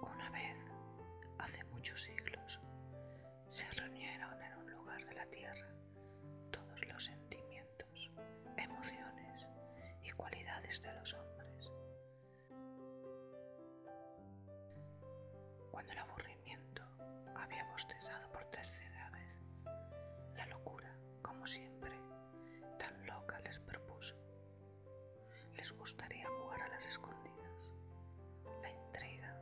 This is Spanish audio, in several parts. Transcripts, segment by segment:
Una vez, hace muchos siglos, se reunieron en un lugar de la tierra todos los sentimientos, emociones y cualidades de los hombres cuando el aburrimiento había bostezado por tercera vez, la locura, como siempre, tan loca les propuso. Les gustaría jugar a las escondidas. La intriga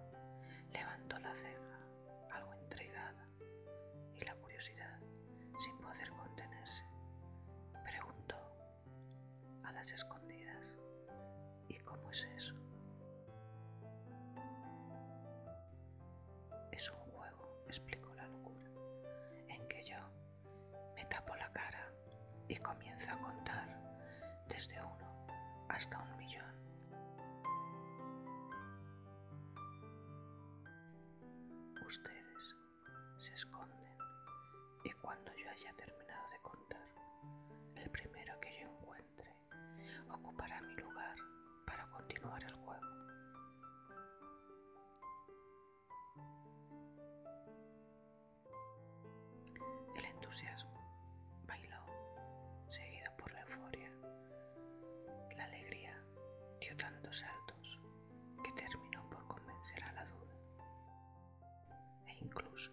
levantó la ceja, algo intrigada, y la curiosidad, sin poder contenerse, preguntó a las escondidas. ¿Y cómo es eso? Es un juego, explicó la locura, en que yo me tapo la cara y comienzo a contar desde uno hasta un millón. Ustedes se esconden y cuando yo haya terminado de contar, el primero que yo encuentre ocupará mi lugar para continuar el juego. El entusiasmo bailó, seguido por la euforia. La alegría dio tantos saltos que terminó por convencer a la duda e incluso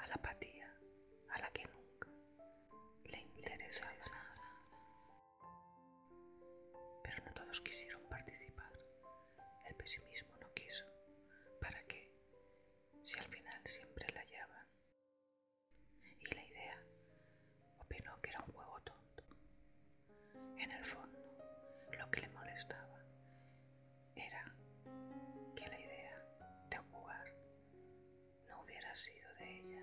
a la apatía a la que nunca le interesaba nada. Pero no todos quisieron participar. El pesimismo no quiso. ¿Para qué? Si al final siempre la hallaban. Y la idea opinó que era un juego tonto. En el fondo, lo que le molestaba era que la idea de jugar no hubiera sido de ella.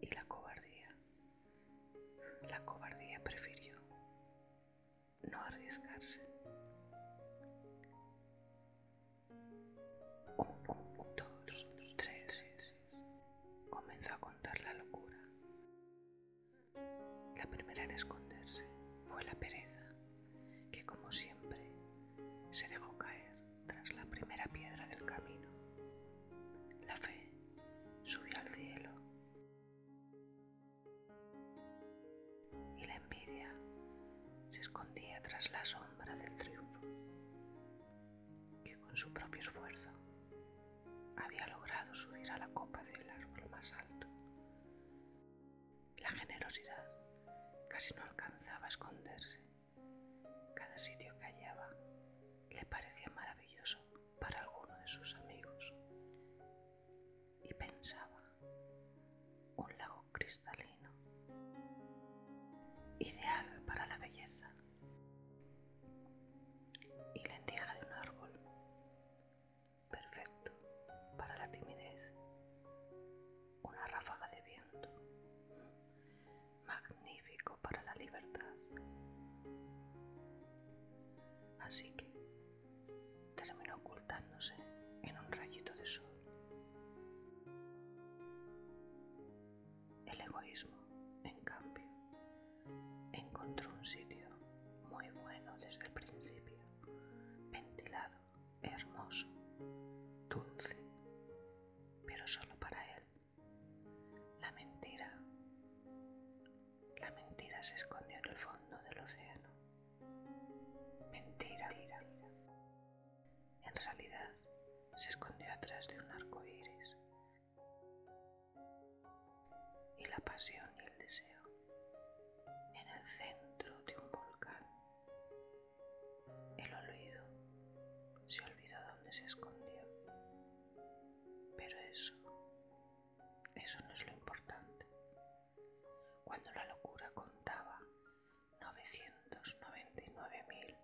Y la cobardía, la cobardía prefirió no arriesgarse. Un, dos, tres, comenzó a contar la locura. La primera en esconderse fue la pereza, que como siempre se dejó caer tras la primera piedra del camino. La fe subió al cielo y la envidia se escondía tras la sombra del triunfo, que con su propio esfuerzo había logrado subir a la copa del árbol más alto. La generosidad casi no alcanzaba a esconderse. Cada sitio que hallaba le parecía maravilloso para alguno de sus amigos. Y pensaba, un lago cristalino, ideal para la belleza, y la lenteja de un árbol perfecto para la timidez. Una ráfaga de viento, magnífico para la libertad. Así que terminó ocultándose en un rayito de sol. El egoísmo, en cambio, Encontró un sitio muy bueno desde el principio, ventilado, hermoso, dulce, pero solo para él. La mentira, la mentira se escondió en el fondo del océano. Mentira, mentira. En realidad, se escondió atrás de un arco iris y la pasión y el deseo en el centro de un volcán. El olvido se olvidó dónde se escondió, pero eso, eso no es lo importante. Cuando la locura contaba 999.999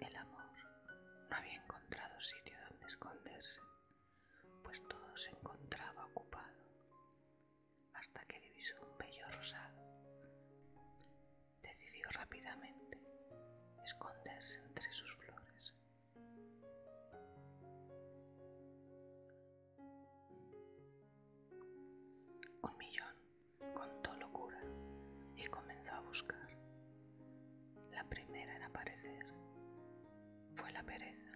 el amor no había encontrado sitio donde esconderse, pues todo se encontraba ocupado, hasta que divisó un vello rosado. Decidió rápidamente esconderse entre sus flores. Un millón contó locura y comenzó a buscar. La primera en aparecer fue la pereza,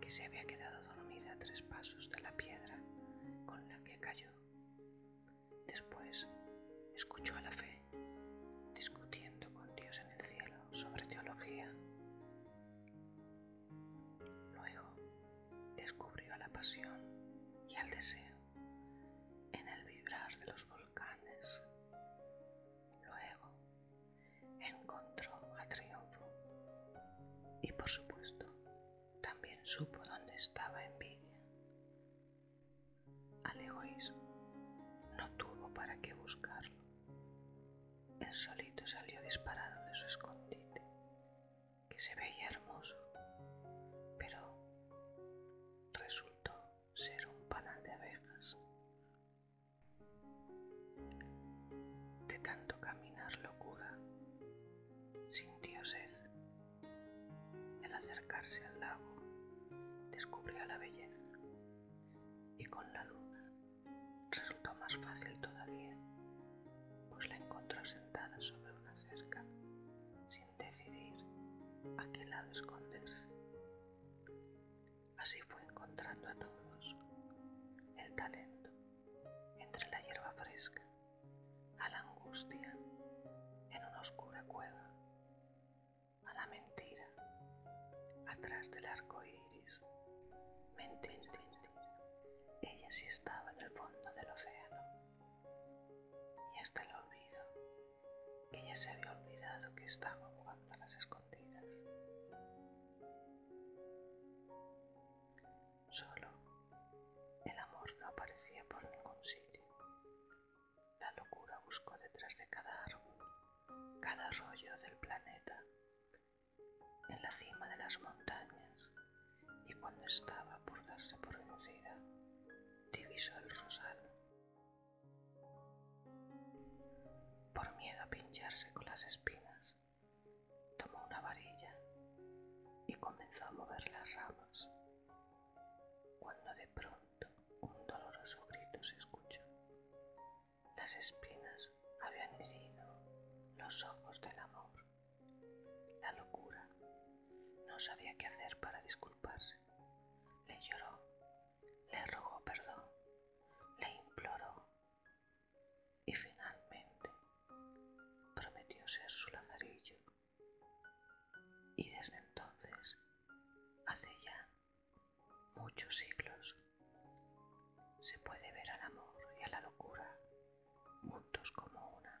que se había quedado dormida a tres pasos de la piedra con la que cayó. Después escuchó a la fe discutiendo con Dios en el cielo sobre teología. Luego descubrió a la pasión y al deseo en el vibrar de los volcanes. Luego encontró a Triunfo y por supuesto también supo dónde estaba envidia. Al egoísmo no tuvo para qué buscarlo. Él solito salió disparado de su escondite, que se veía hermoso, pero resultó ser un panal de abejas. De tanto caminar locura, sin sed. Al acercarse al lago, descubrió la belleza y con la luna resultó más fácil todavía, pues la encontró sentada sobre una cerca sin decidir a qué lado esconderse. Así fue encontrando a todos el talento entre la hierba fresca, a la angustia en una oscura cueva, a la mentira atrás del arco iris. Mentir, Ella sí estaba en el fondo del océano. Y hasta el olvido, que ya se había olvidado que estaba jugando a las escondidas. Solo el amor no aparecía por ningún sitio. La locura buscó detrás de cada árbol, cada rollo del planeta, en la cima de las montañas y cuando estaba por darse por vencida, divisó el rosal. Por miedo a pincharse con las espinas, tomó una varilla y comenzó a mover las ramas, cuando de pronto un doloroso grito se escuchó. Las espinas habían herido los ojos del amor. La locura. No sabía qué hacer para disculparse. Le lloró, le rogó perdón, le imploró y finalmente prometió ser su lazarillo. Y desde entonces, hace ya muchos siglos, se puede ver al amor y a la locura juntos como una.